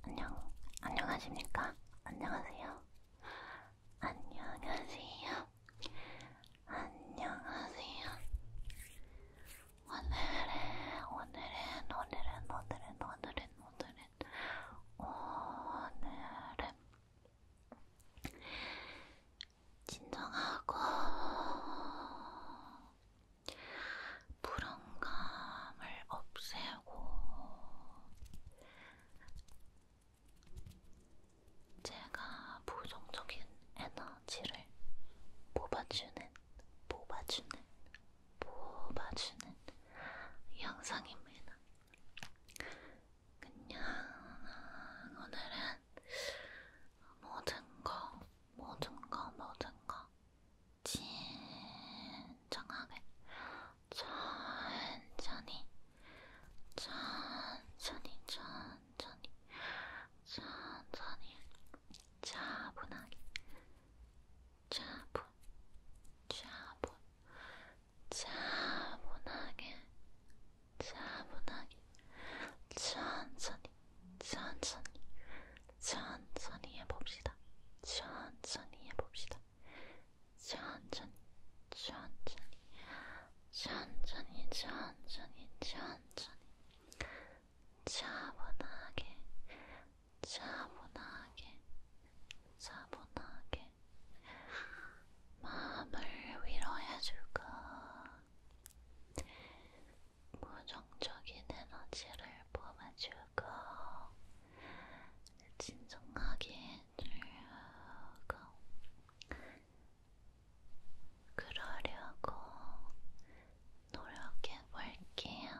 안녕, 안녕, 안녕하십니까? 안녕하세요. 안녕하세요. 안녕하세요. 오늘은, 오늘은, 오늘은, 오늘은, 오늘은, 오늘은, 오늘은, 진정하고, 불안감을 없애고 제가 부정적인 에너지를 뽑아주는, 뽑아주는, 뽑아주는 영상입니다. 그냥 오늘은 모든 거, 모든 거, 모든 거 진정하게 천천히 천천히 천천히 천천히 차분하게 차분 차분 차분하게 차분하게 천천히 천천히 천천히 해봅시다. 천천히 해봅시다. 천천히, 천천히, 천천히, 천천히, 천천히. 차분하게, 차분하게, 차분하게. 마음을 위로해줄까? 부정적인 에너지를 뽑아줄까? 진정하게 들고 그러려고 노력해 볼게요.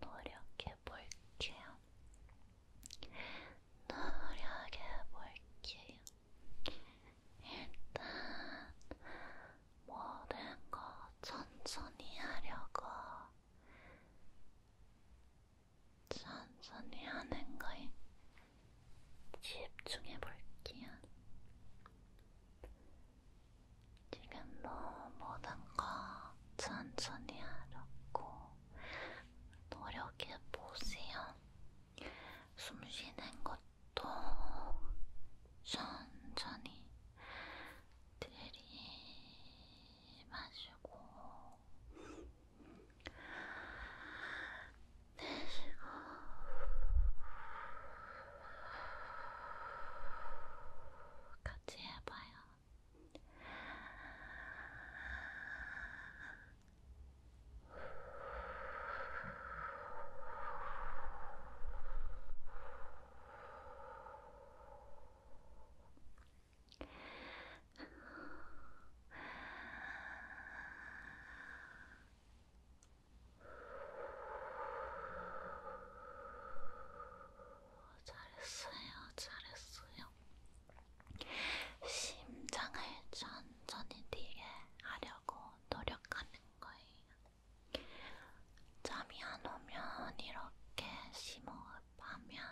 노력해 볼게요. 노력해 볼게요. 일단 모든 거 천천히 하려고 천천히 하는 거에 집중해 볼게요. 지금 모든 거 천천히 하려고 노력해 보세요. 숨 쉬는 것도 천천히 들이마시고 내쉬고 같이 해봐요. 잘했어요, 잘했어요. 심장을 천천히 뛰게 하려고 노력하는 거예요. 잠이 안 오면 이렇게 심호흡하면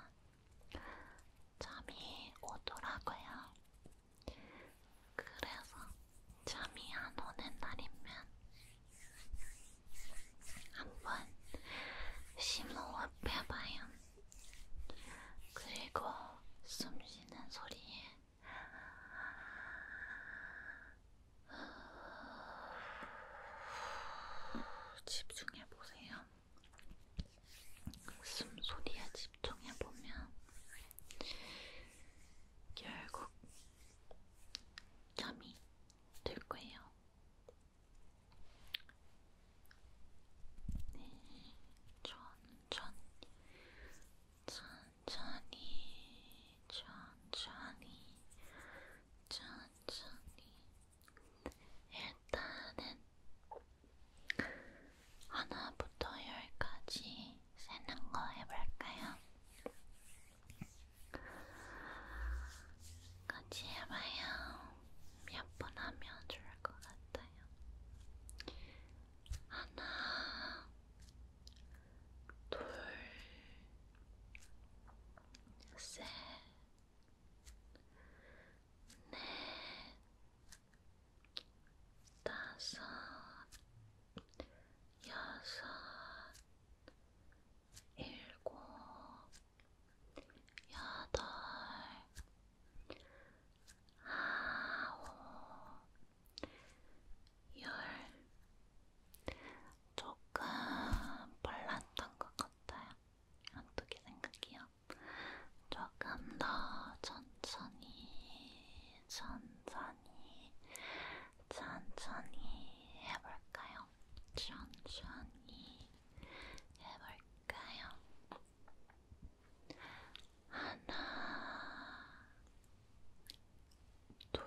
잠이 오더라고요. 그래서 잠이 안 오는 날이면 한번 심호흡 해봐요. 그리고 숨 쉬는 소리에 집중해 보세요. 숨소리에 집중해 보면 결국 잠이 들 거예요. 네, 천천히, 천천히, 천천히, 천천히. 천천히 일단은 하나부터 열까지 세는 거 해볼까요? 같이 해봐요. 몇 번 하면 좋을 것 같아요. 하나, 둘, 셋. 넷, 네, 다섯, 여섯, 일곱, 여덟, 아홉, 열, 조금 몰랐던 것 같아요. 어떻게 생각해요? 조금 더 천천히, 천천히, 천천히 해볼까요? 천천히 해볼까요? 하나, 둘,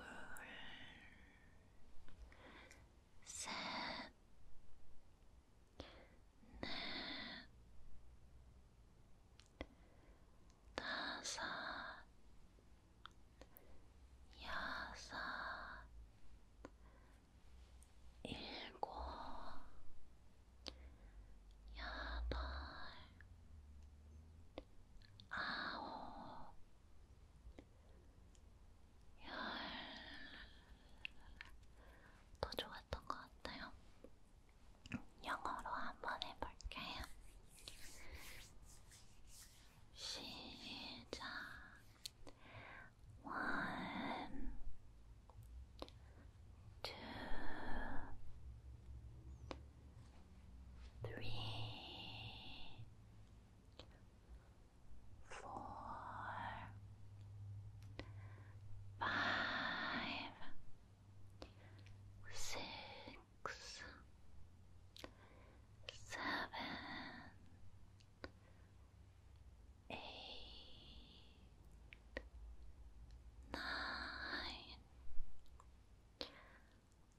셋, 넷, 다섯, 여섯, 일곱, 여덟, 아홉, 더 좋았던 것 같아요. 영어로 한번 해볼게요. 시작. One, two, three, four, five, six, seven, eight, nine,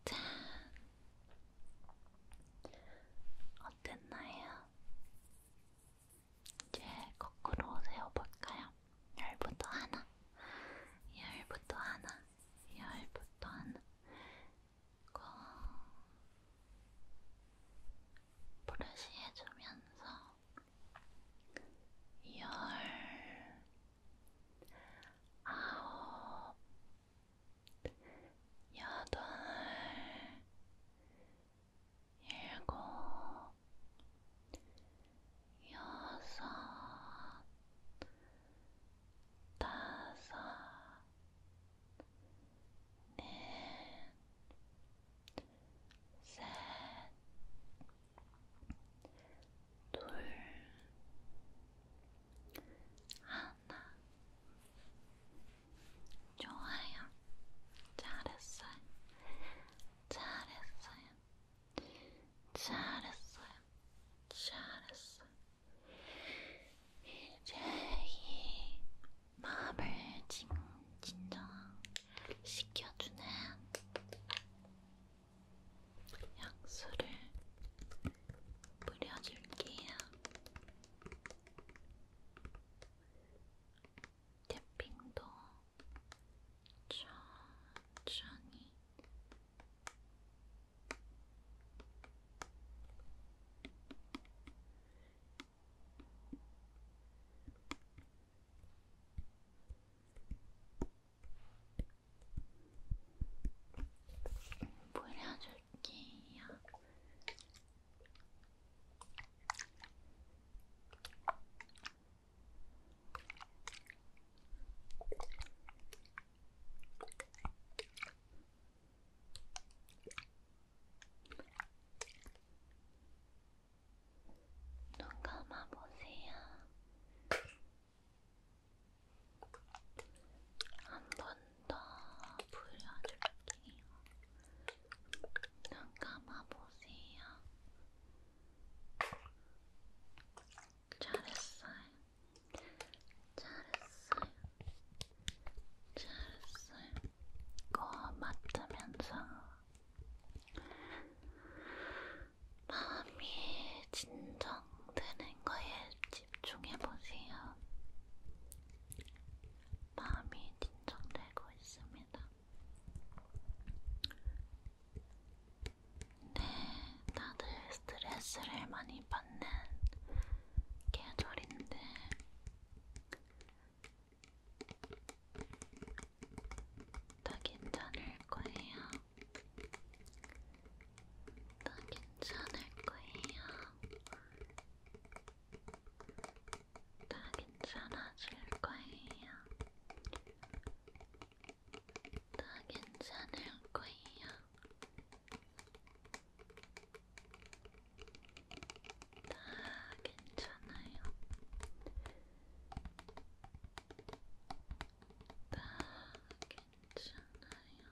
ten. 어땠나요? 이제 거꾸로 세워볼까요? 열부터 하나, 열부터 하나, 열부터 하나. 고. 브러시 해주면서 열 아홉 여덟, 일곱, 여섯, 다섯, 넷, 셋, 둘, 하나 좋아요. 잘했어요. 잘했어요. 잘했어요. 잘했어요. 이제 이 마음을 진, 진정시켜주는 약수를 뿌려줄게요. 태핑도 천천히 물려줄 볼게요. 눈 감아보세요. 한 번도 더 불려줄게요. 눈 감아보세요. 잘했어요. 잘했어요. 잘했어요. 거 맡으면서 마음이 진정되는 거에 집중해보세요. 마음이 진정되고 있습니다. 네, 다들 스트레스를 많이 받는 계절인데, 다 괜찮을 거예요. 다 괜찮을 거예요. 다 괜찮아질 거예요. 다 괜찮을 거예요. 다 괜찮아요. 다 괜찮아요. 다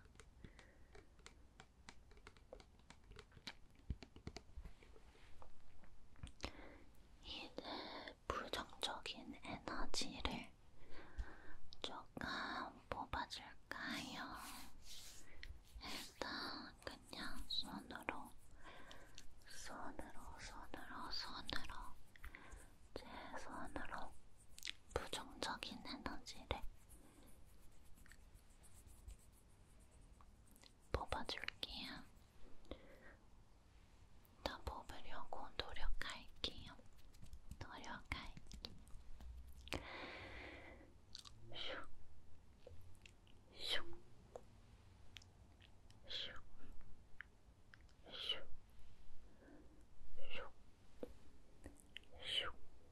이 부정적인 에너지를 조금 뽑아줄까요? 일단 그냥 손으로 손으로 손으로 손으로 제 손으로 부정적인 에너지를 뽑아줄게요. 나 뽑으려고 노력할게요. 노력할게요. 슉, 슉, 슉, 슉, 슉, 슉.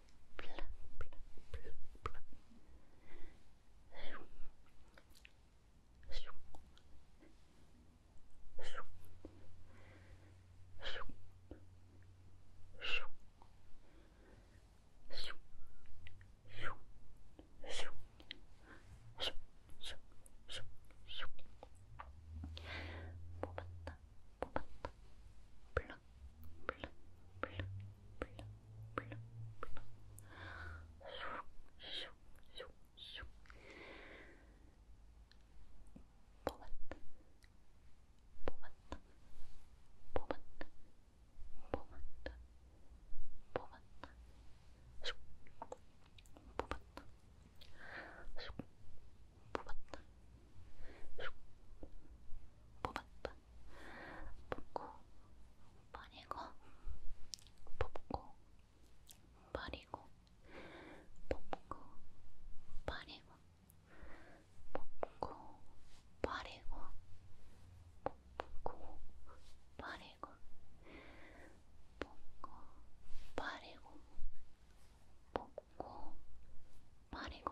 뭐 봤다, 뭐 봤다, 블랑, 뽑았다. 뽑고 버리고 뽑고 버리고 뽑고 버리고 뽑고 버리고 뽑고 버리고 뽑고 버리고 뽑고 버리고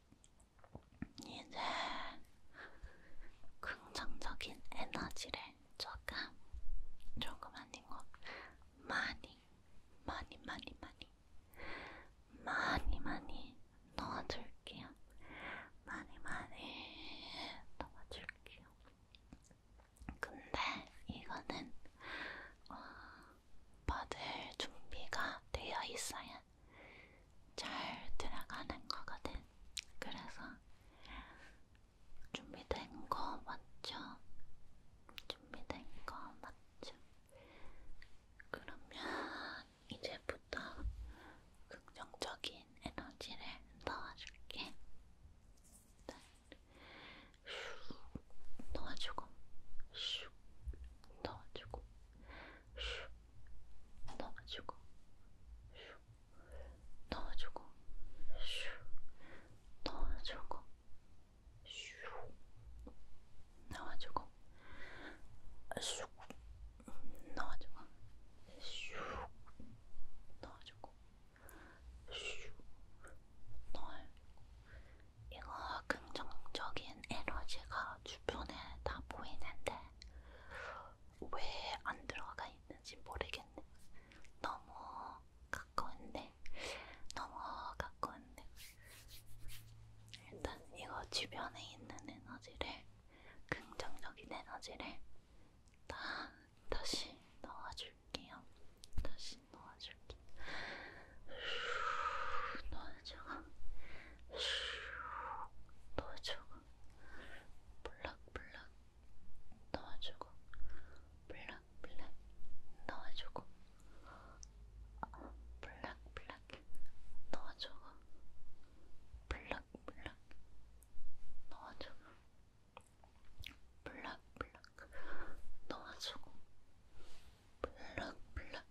이제 긍정적인 에너지를 조금, 조금 아니고 많이, 많이, 많이, 많이, 많이, 많이 넣어줄게요. 많이, 많이 넣어줄게요. 근데 이거는 어, 받을 준비가 되어 있어야 잘 들어가는 거거든. 그래서 준비된 거 맞죠? 준비된 거 맞죠? 그러면 이제부터 긍정적인 에너지를 넣어줄게. 슉 넣어주고, 슉 넣어주고, 슉 넣어주고 슈 넣어주고 슈 넣어주고 슈 넣어주고 슈 넣어주고 슈 넣어주고 슈 넣어주고 이거 긍정적인 긍정적인 에너지가 주변에 다 보이는데 왜 안 들어가 있는지 모르겠네. 너무 가까운데, 너무 가까운데. 일단 이거 주변에 있는 에너지를 긍정적인 에너지를 다 다시 넣어줄게요. 다시 넣어줄게. 넣어줘. 넣어주고 블락블락 넣어주고 블락블락 넣어주고 블락블락 넣어주고 블락블락 넣어주고 블락블락 넣어주고 블락블락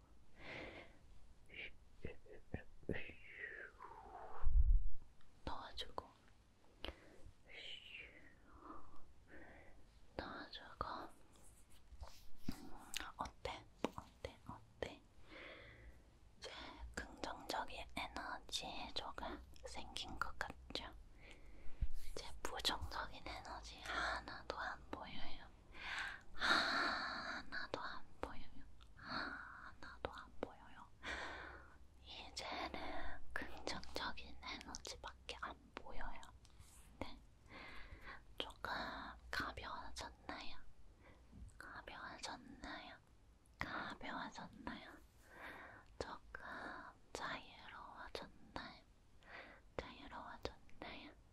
넣어주고 넣어주고 음, 어때? 어때? 어때? 이제 긍정적인 에너지 조금 생긴 것 같죠? 이제 부정적인 에너지 하나도 안 보여요. 하나도 안 보여요. 하나도 안 보여요. 이제는 긍정적인 에너지밖에 안 보여요. 네. 조금 가벼워졌나요? 가벼워졌나요? 가벼워졌나요? 조금 자유로워졌나요? 자유로워졌나요?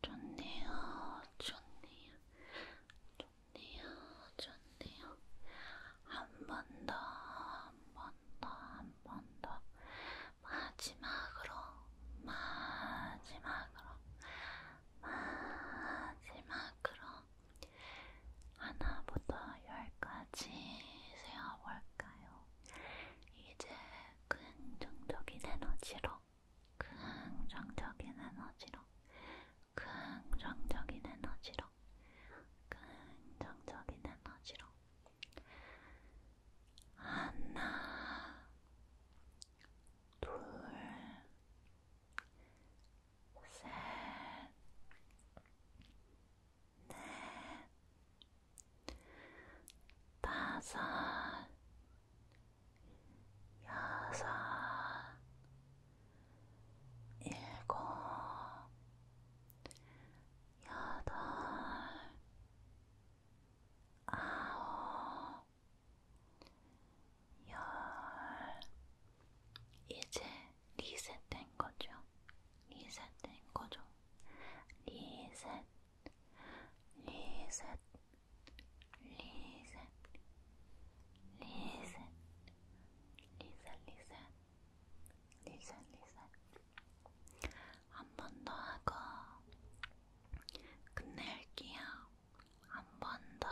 좋네요, 좋네요, 좋네요, 좋네요. 한번 더, 한 번 더, 한 번 더. 마지막으로, 마지막으로, 마지막으로. 하나부터 열까지 세어볼까요? 이제 긍정적인 에너지로, 긍정적인 에너지로, 긍정적인 에너지로, 긍정적인 에너지로. 하나, 둘, 셋, 넷, 다섯, 여섯, 일곱, 여덟, 아홉, 열. 이제 리셋된 거죠. 리셋된 거죠. 리셋, 리셋, 리셋, 리셋, 리셋, 리셋, 리셋, 리셋. 한번더 하고 끝낼게요. 한 번 더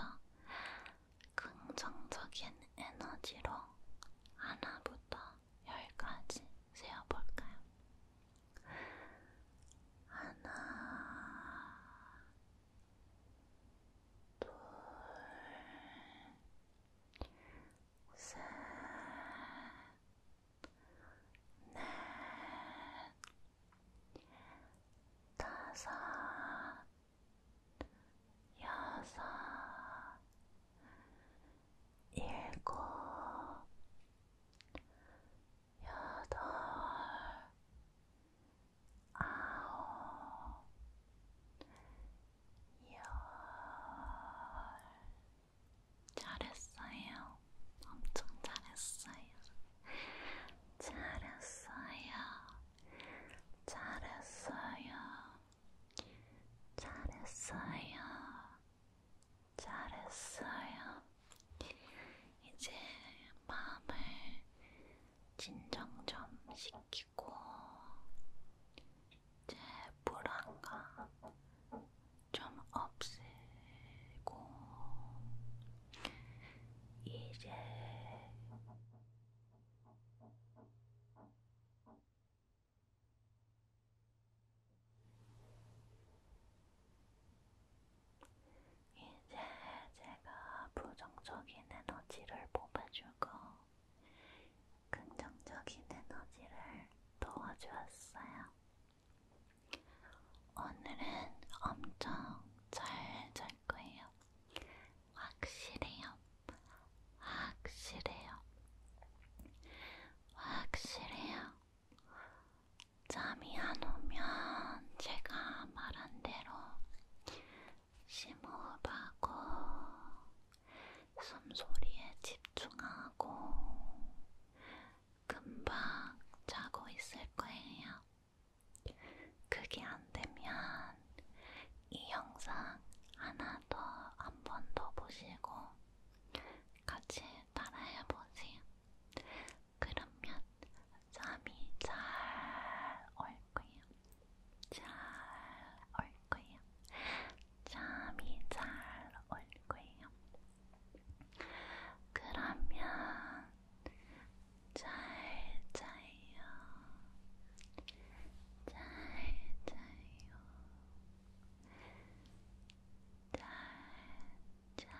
긍정적인 에너지로 하나부터 열까지 세어볼까요? 하나, 둘, 셋넷 다섯 여섯 일곱 여덟 아홉 열 잘했어요. 엄청 잘했어요. 잘했어요. 잘했어요. 잘했어요. 잘했어요. 이제 마음을 진정 좀 시키고 이제 불안감 좀 없애고 이제 이제 제가 부정적인 에너지를 뽑아주고 긍정적인 에너지를 도와주었어요. 오늘은 엄청 잘 잘 거예요. 확실해요. 확실해요. 확실해요. 잠이 안 오면 제가 말한 대로 심호흡하고 숨소리에 집중하고 금방 자고 있을 거예요. 그게 안 되면 이 영상 하나 더 한 번 더 보시고 같이 따라해 보세요. 그러면 잠이 잘 올 거예요. 잘 올 거예요. 잠이 잘 올 거예요. 그러면 잘 자요. 잘 자요. 잘 자요.